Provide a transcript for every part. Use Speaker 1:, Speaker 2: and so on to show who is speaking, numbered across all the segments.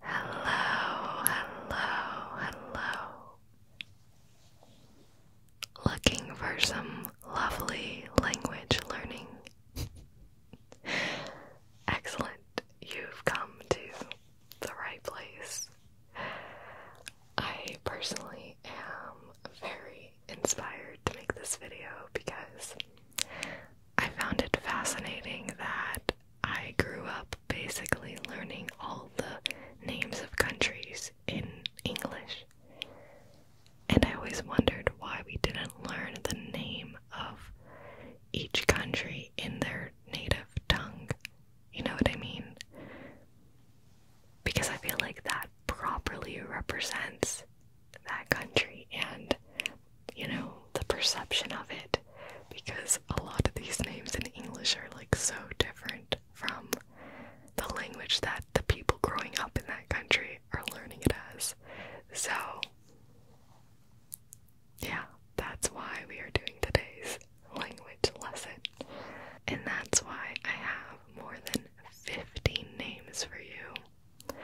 Speaker 1: Hello, hello, hello. Looking for some lovely language learning. Excellent, you've come to the right place. I personally am very inspired to make this video because I found it fascinating that I grew up basically learning all the names of countries in English. And I always wondered why we didn't learn the name of each country in their native tongue. You know what I mean? Because I feel like that properly represents that country and you know, the perception of it because a lot of these names in English are like so different from the language that the people growing up in that country are learning it as. So, yeah, that's why we are doing today's language lesson. And that's why I have more than 15 names for you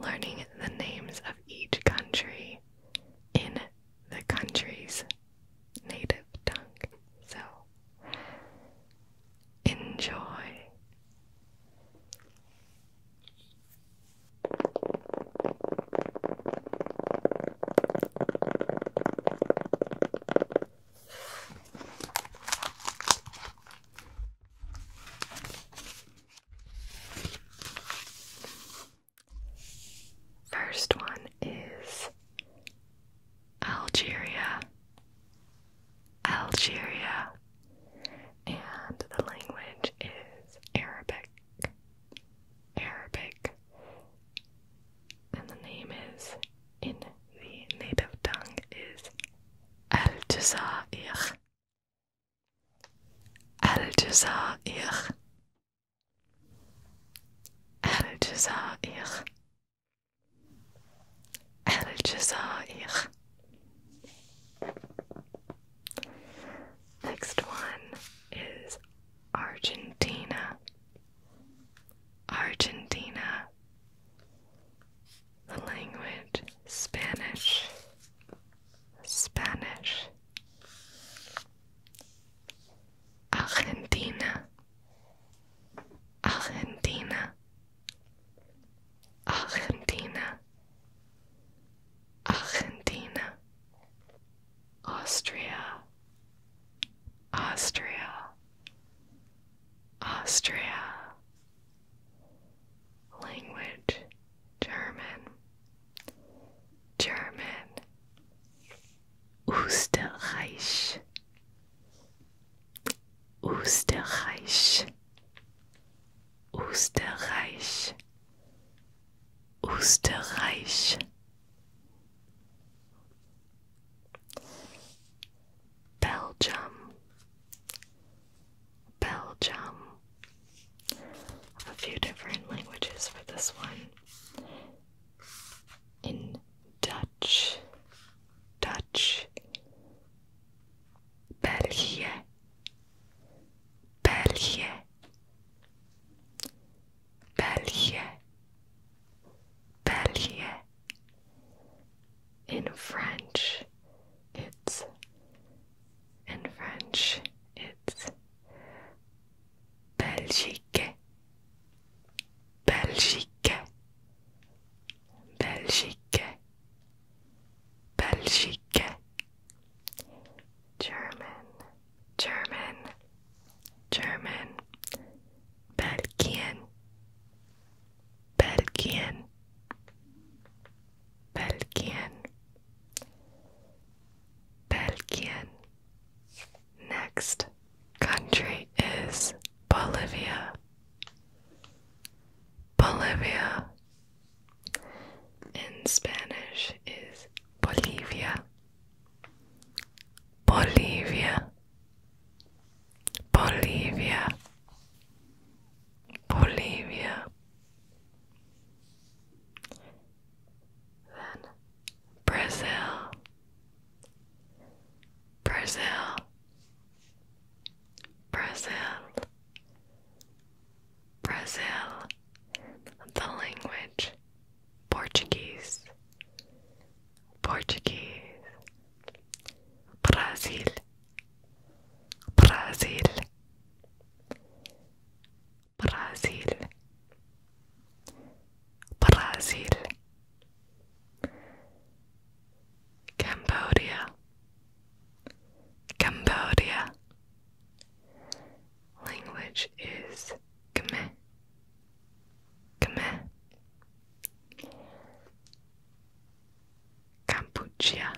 Speaker 1: learning the names of each country in the country's native tongue. So, enjoy. First one is Algeria. Algeria. And the language is Arabic. Arabic. And the name is, in the native tongue, is Al Jazair. الجزائر الجزائر الجزائر Next one is Argentina. Argentina. The language Spanish. Spanish. Argentina, Argentina, Argentina, Argentina, Austria, Austria, Austria, language German German Österreich Österreich Österreich Österreich Belgium Belgium. A few different languages for this one. In Dutch, Dutch, België, België, België, België. In French, it's in French, it's Belgique, Belgique, Belgique, Belgique, German, German, German, Belgian, Belgian, Belgian, Belgian. Next country is Bolivia. Bolivia in Spanish is Bolivia. Bolivia. Bolivia. Bolivia. Then Brazil, Brazil, Brazil, Brazil. The language Portuguese, Portuguese, Brazil, Brazil. Brazil Brazil Cambodia Cambodia Language is Khmer Khmer Cambodia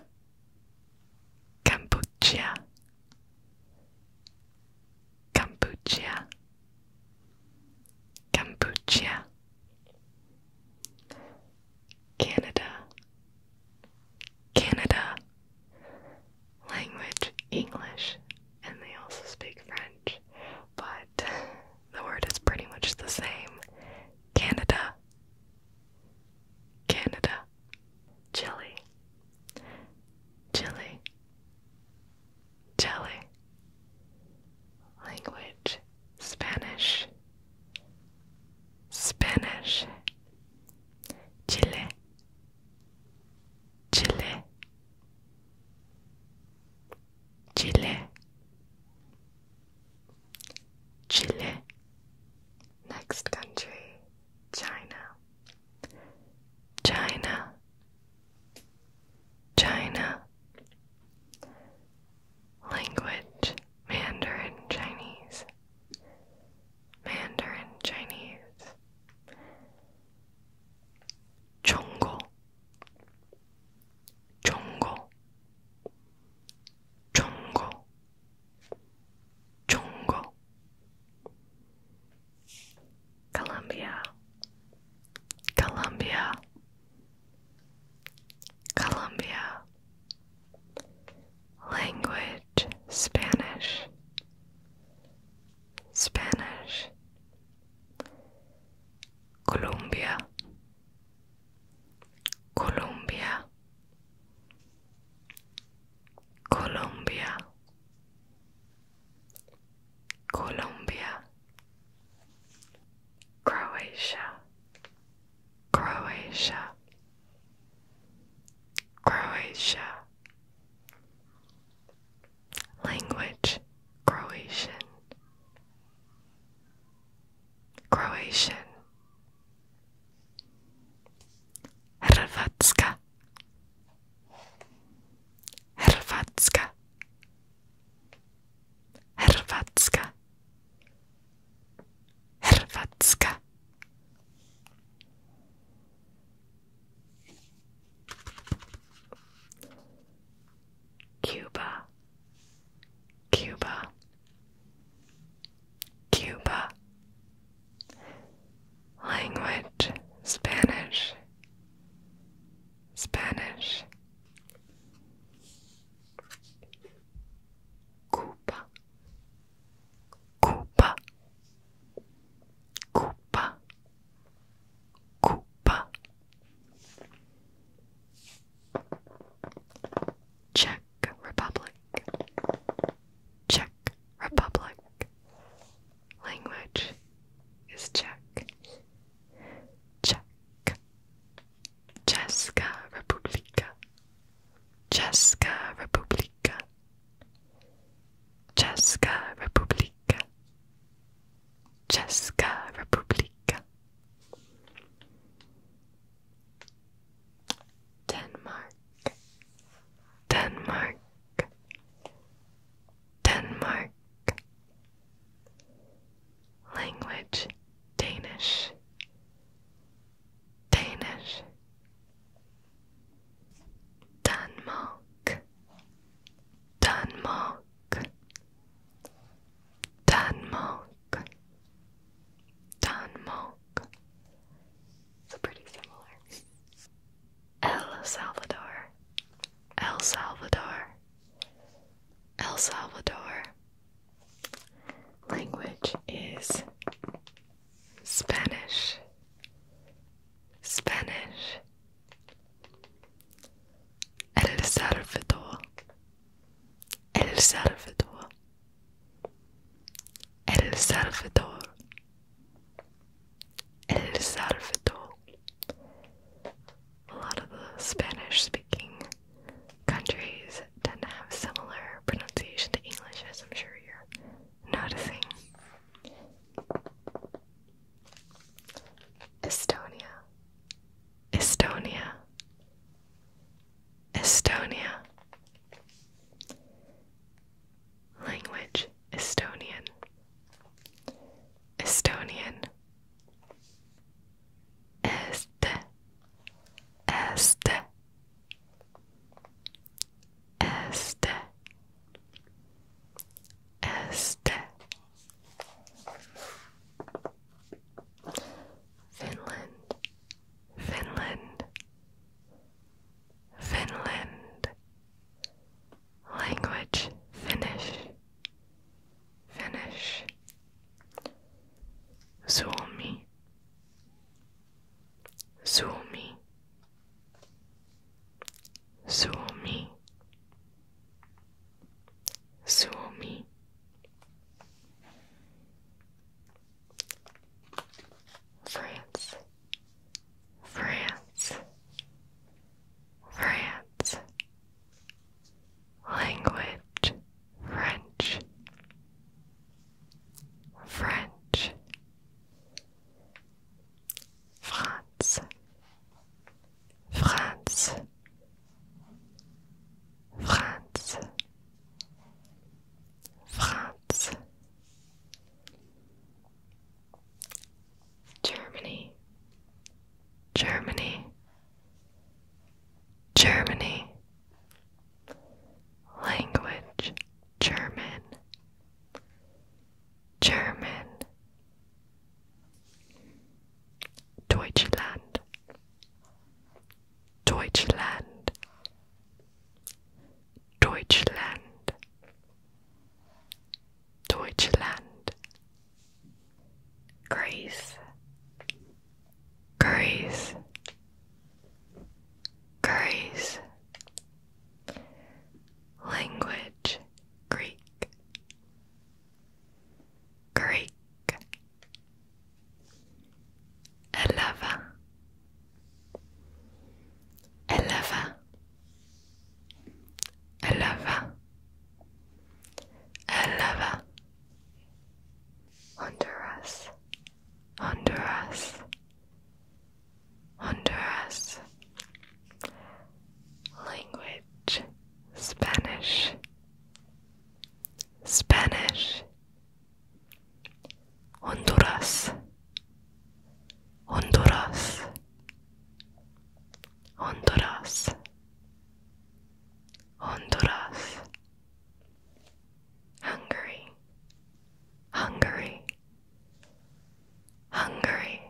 Speaker 1: Cambodia Cambodia Cambodia Canada Canada language English and they also speak French but the word is pretty much the same Canada Canada Jelly, jelly, jelly. Language Spanish, Spanish. Chile, Chile, Chile, Chile. Next country, China. China, China. Language Mandarin Chinese, Mandarin Chinese. Chongo, Chongo, Chongo. Jungle, Colombia, Colombia, Colombia. Language Spanish, Spanish, Colombia, Colombia. Colombia, Colombia, Croatia, Croatia, Croatia, language Croatian, Croatian. Hrvatska Hrvatska Hrvatska Hrvatska Cuba Cuba Cuba Language Spanish, Spanish. Cupa, Cupa, Cupa, Cupa. Czech Republic, Czech Czech Republic. Language is Czech. Czech. Česká republika. Česká republika. Česká republika. Česká republika. Denmark, Denmark, Denmark. Language Danish, Danish. Denmark, Denmark, Denmark, Denmark. So pretty similar. El Salvador, El Salvador, El Salvador. Language is Spanish, Spanish. El Salvador, El Salvador, El Salvador. El Salvador. A lot of the Spanish speaking countries tend to have similar pronunciation to English, as I'm sure you're noticing. Estonia. Estonia. Estonia. Language Estonian. Estonian. Este. Este. Este. Este. Language Finnish, Finnish, Suomi, Suomi, Suomi, Suomi, France, France, France. Language French, French, France, France, France, France. Germany, Germany, Germany, language, German, German, Deutschland, Deutschland, Deutschland Deutschland Greece Greece Greece Language Greek Greek Eleven Eleva, eleva, eleva. Honduras, Honduras, Honduras. Language, Spanish, Spanish, Honduras, Honduras, Honduras, Honduras, Hungary, Hungary, Hungary,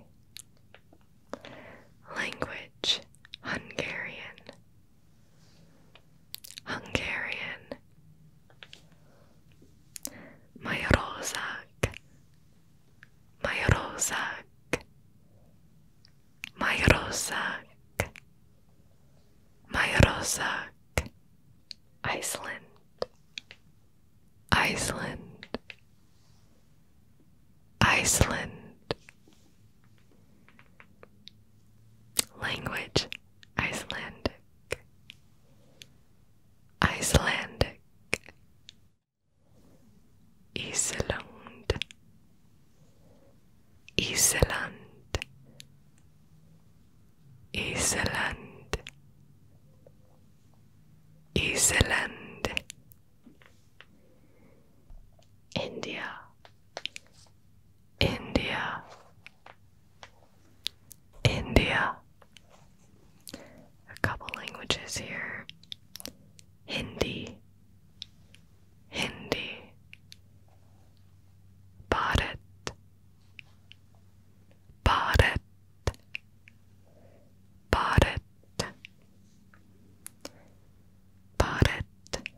Speaker 1: language Hungarian, Hungarian. My rozak, my rozak, my rozak, my rozak, Iceland, Iceland, Iceland. Language Icelandic Icelandic Island Island Island Island India India India. A couple languages here. Hindi. Hindi. Bharat. Bharat. Bharat. Bharat.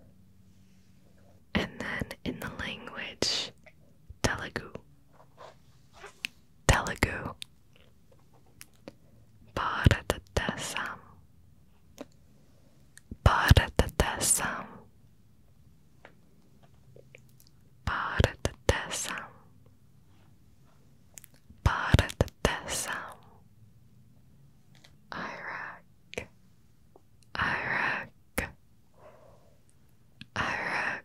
Speaker 1: And then in the language Telugu. Telugu. Bharatadesam Bharatadesam Bharatadesam Bharatadesam Iraq Iraq Iraq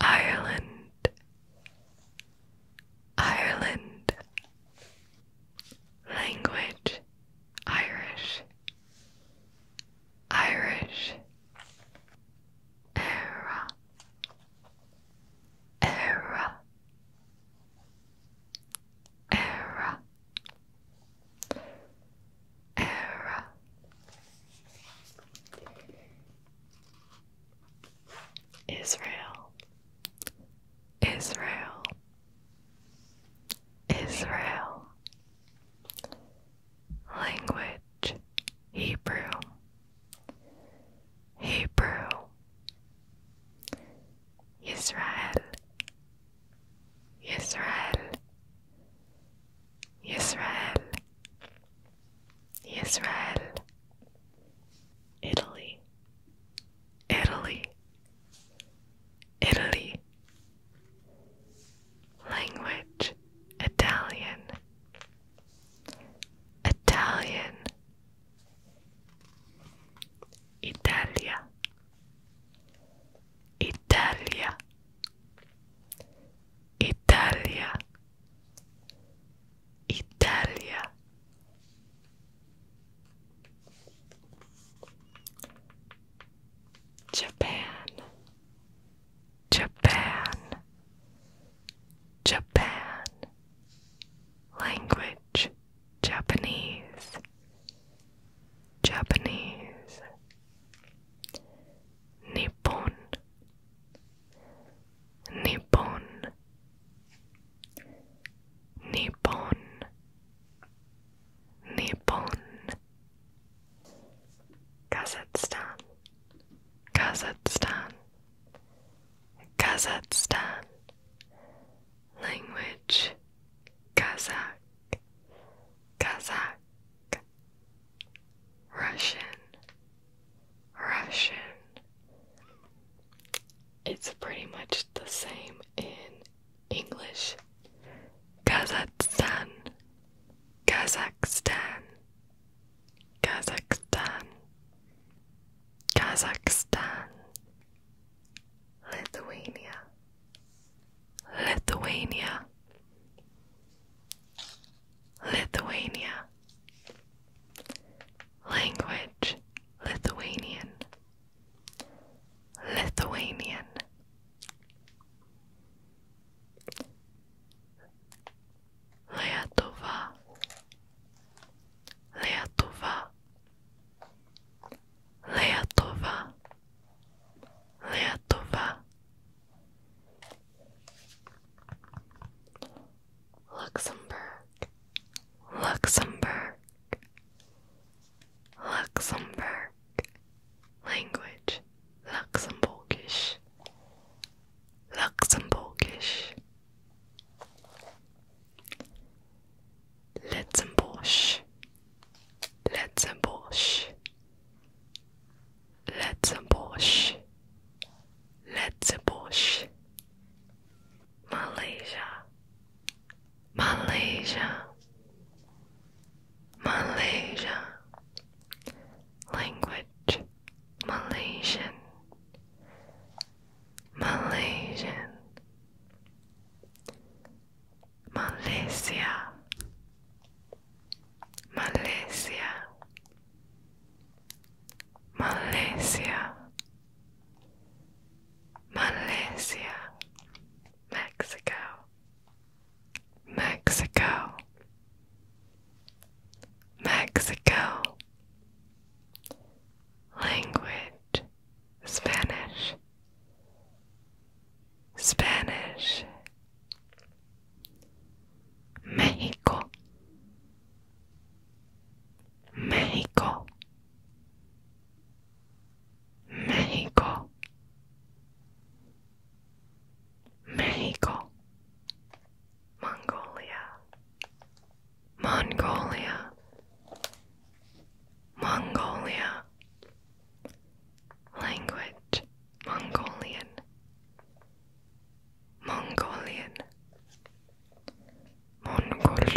Speaker 1: Ireland, Ireland, language, Irish, Irish, era, era, era era. Israel, Israel, Israel. Language Hebrew, Hebrew. Israel, Israel, Israel. Israel, Italy, Italy, Italy. Language, Italian, Italian, Italia, Italia, Italia Italia Japan Japan Japan Language Japanese Japanese Nippon Nippon Nippon Nippon Kazakhstan Kazakhstan Kazakhstan Language Kazakh Kazakh Russian, Russian. It's pretty much the same in English. Kazakhstan, Kazakhstan, Kazakhstan, Kazakhstan, Lithuania, Lithuania, Lithuania, language Lithuanian, Lithuanian. Lietuva, Lietuva, Lietuva, Lietuva, Luxembourg, Luxembourg, Luxembourg, language, Luxembourgish, Luxembourgish, Letzenbosch, Letzenbosch, Let's bush. Let's bush. Malaysia. Malaysia. Malaysia. Language. Malaysian. Malaysian. Malaysia. Malaysia, Malaysia, Malaysia, Mexico, Mexico, Mexico. Language Spanish, Spanish, Mexico, Mexico, Mexico, Mexico, Mongolia, Mongolia, Mongolia, language. Mongolian, Mongolian, Mongol,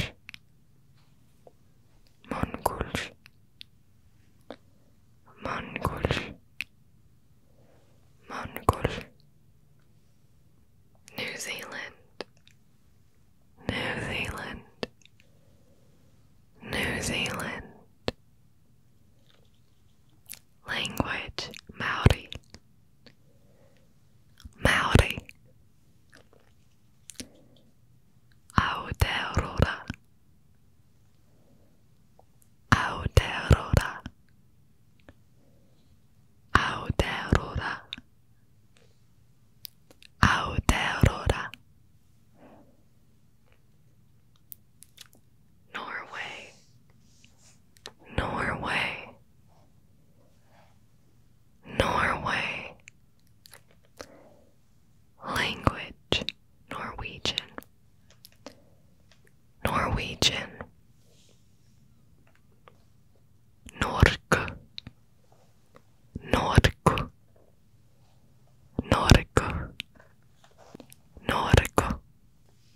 Speaker 1: Mongol, Mongol, Mongol, New Zealand, New Zealand, New Zealand. Language Maori Maori Aotearoa Aotearoa Aotearoa Aotearoa Norway, Norway, Norway. Language, Norwegian, Norwegian. Nork, Nork, Nork, Nork.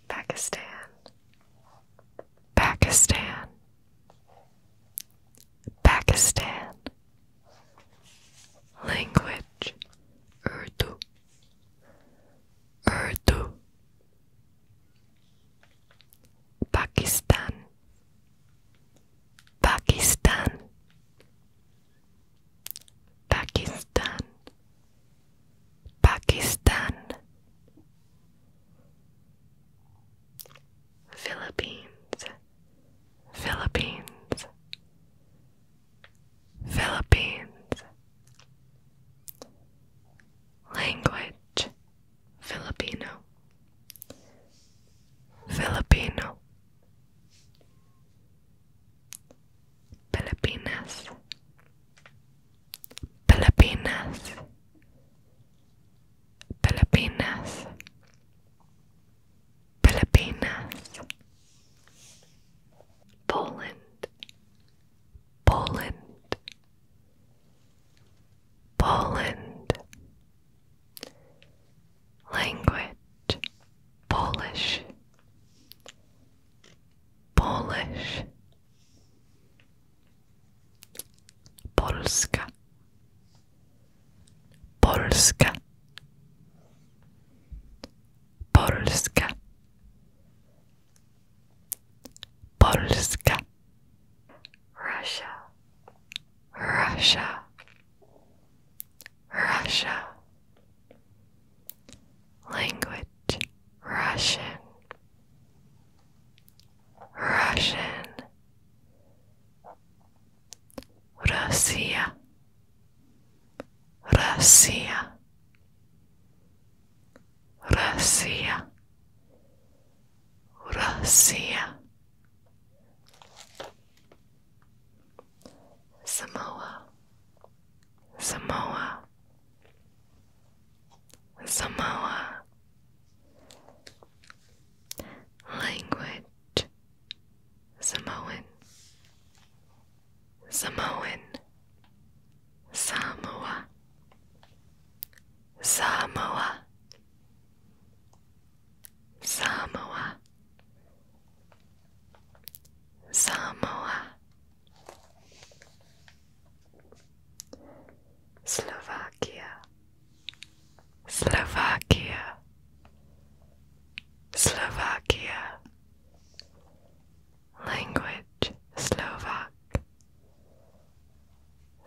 Speaker 1: Pakistan, Pakistan, Pakistan, language Urdu, Urdu, Pakistan, Pakistan, Pakistan. Pakistan, Philippines, Philippines, Philippines, language Filipino, Filipino. Pilipinas, Pilipinas, Pilipinas, Pilipinas, Poland, Poland, Poland, language, Polish. Polish, Polska Polska Polska Polska Russia Russia Russia Language Russian, Russian, Russia, Russia, Russia, Russia, Samoa, Samoa. Samoa Language Samoan Samoan Samoa Samoa Samoa Samoa Slovakia, Slovakia, Slovakia, language Slovak,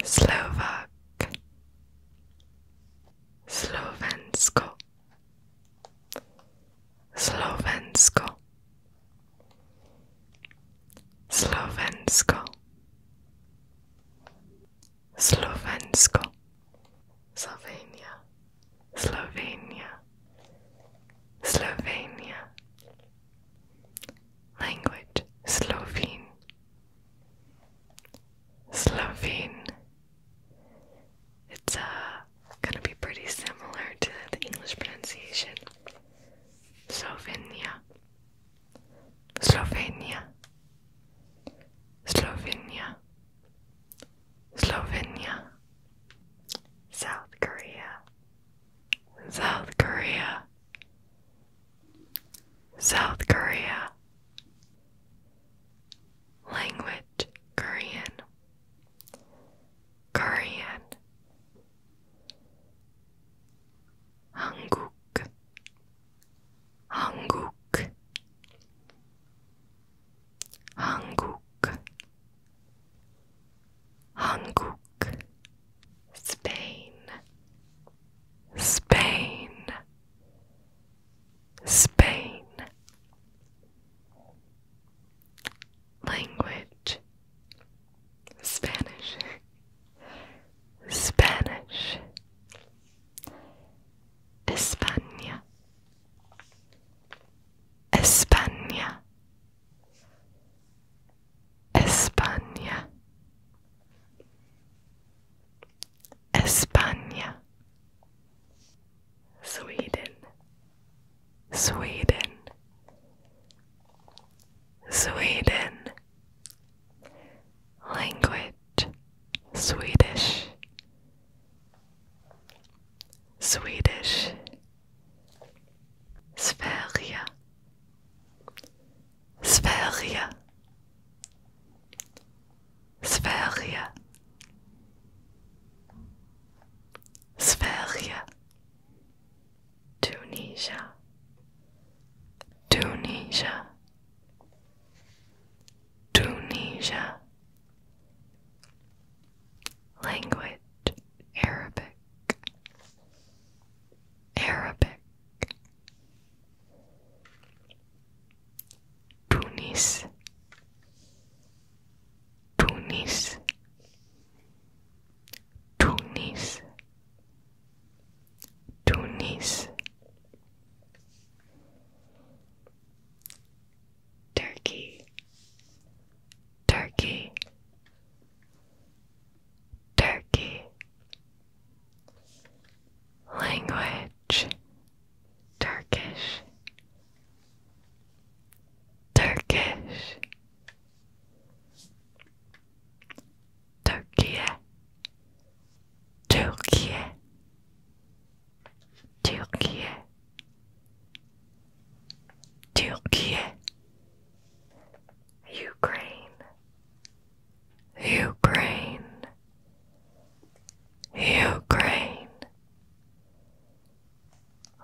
Speaker 1: Slovak, Slovensko. Slovensko Slovensko Slovensko Slovenia Slovenia Slovenia Language Slovene Slovene it's uh, gonna be pretty similar to the English pronunciation. Slovenia, Slovenia, Slovenia, Slovenia, South Korea, South Korea, South Korea. Language Korean, Korean, 한국 한국 한국 한국 Spain Spain Spain language Spanish, Spanish, España, España, España, España, Sweden. Sweden, Sweden, language, Swedish, Swedish, Sverige, Sverige, Sverige. Sverige Tunisia, Tunisia, Tunisia. Language Arabic, Arabic. Tunis, Tunis, Tunis Tunis Turkey Turkey Turkey Language Turkish Turkish Turkey, Turkey, Turkey, Türkiye Ukraine Ukraine Ukraine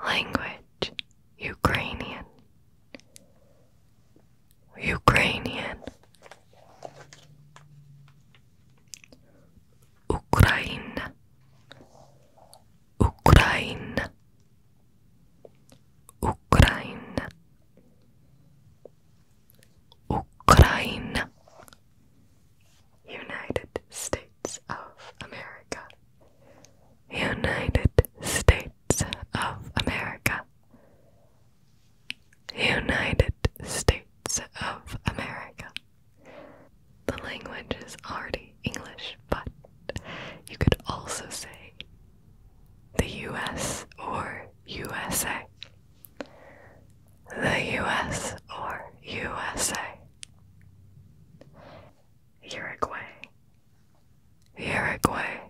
Speaker 1: Language Ukrainian Ukrainian Ukraine Ukraine Ukraine Ukraine United States of America United States of America. United States of America. The language is already English, but you could also say the US or USA. The US or USA. Uruguay Uruguay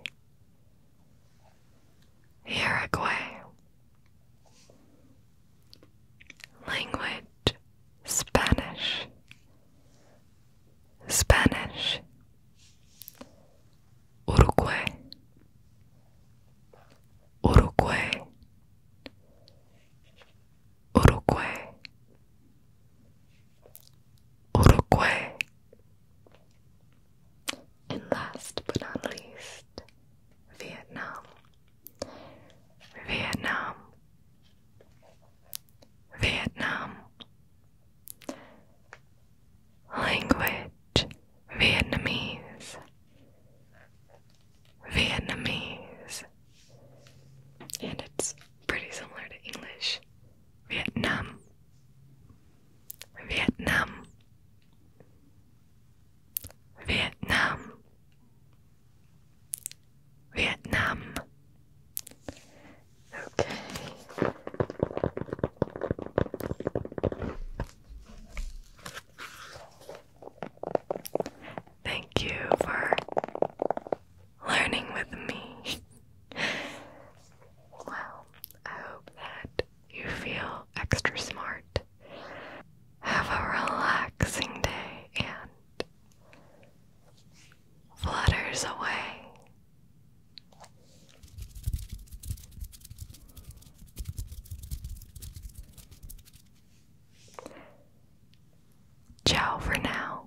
Speaker 1: Uruguay Language Spanish Spanish Uruguay Uruguay Uruguay Uruguay. And last but not least, Vietnam. Vietnam. Vietnam. Language Vietnamese. Vietnamese. And it's pretty similar to English. Vietnam. Vietnam, Vietnam, Vietnam. Okay. Thank you for learning with me. well, I hope that you feel extra smart. Have a relaxing day and flutters away. Ciao for now.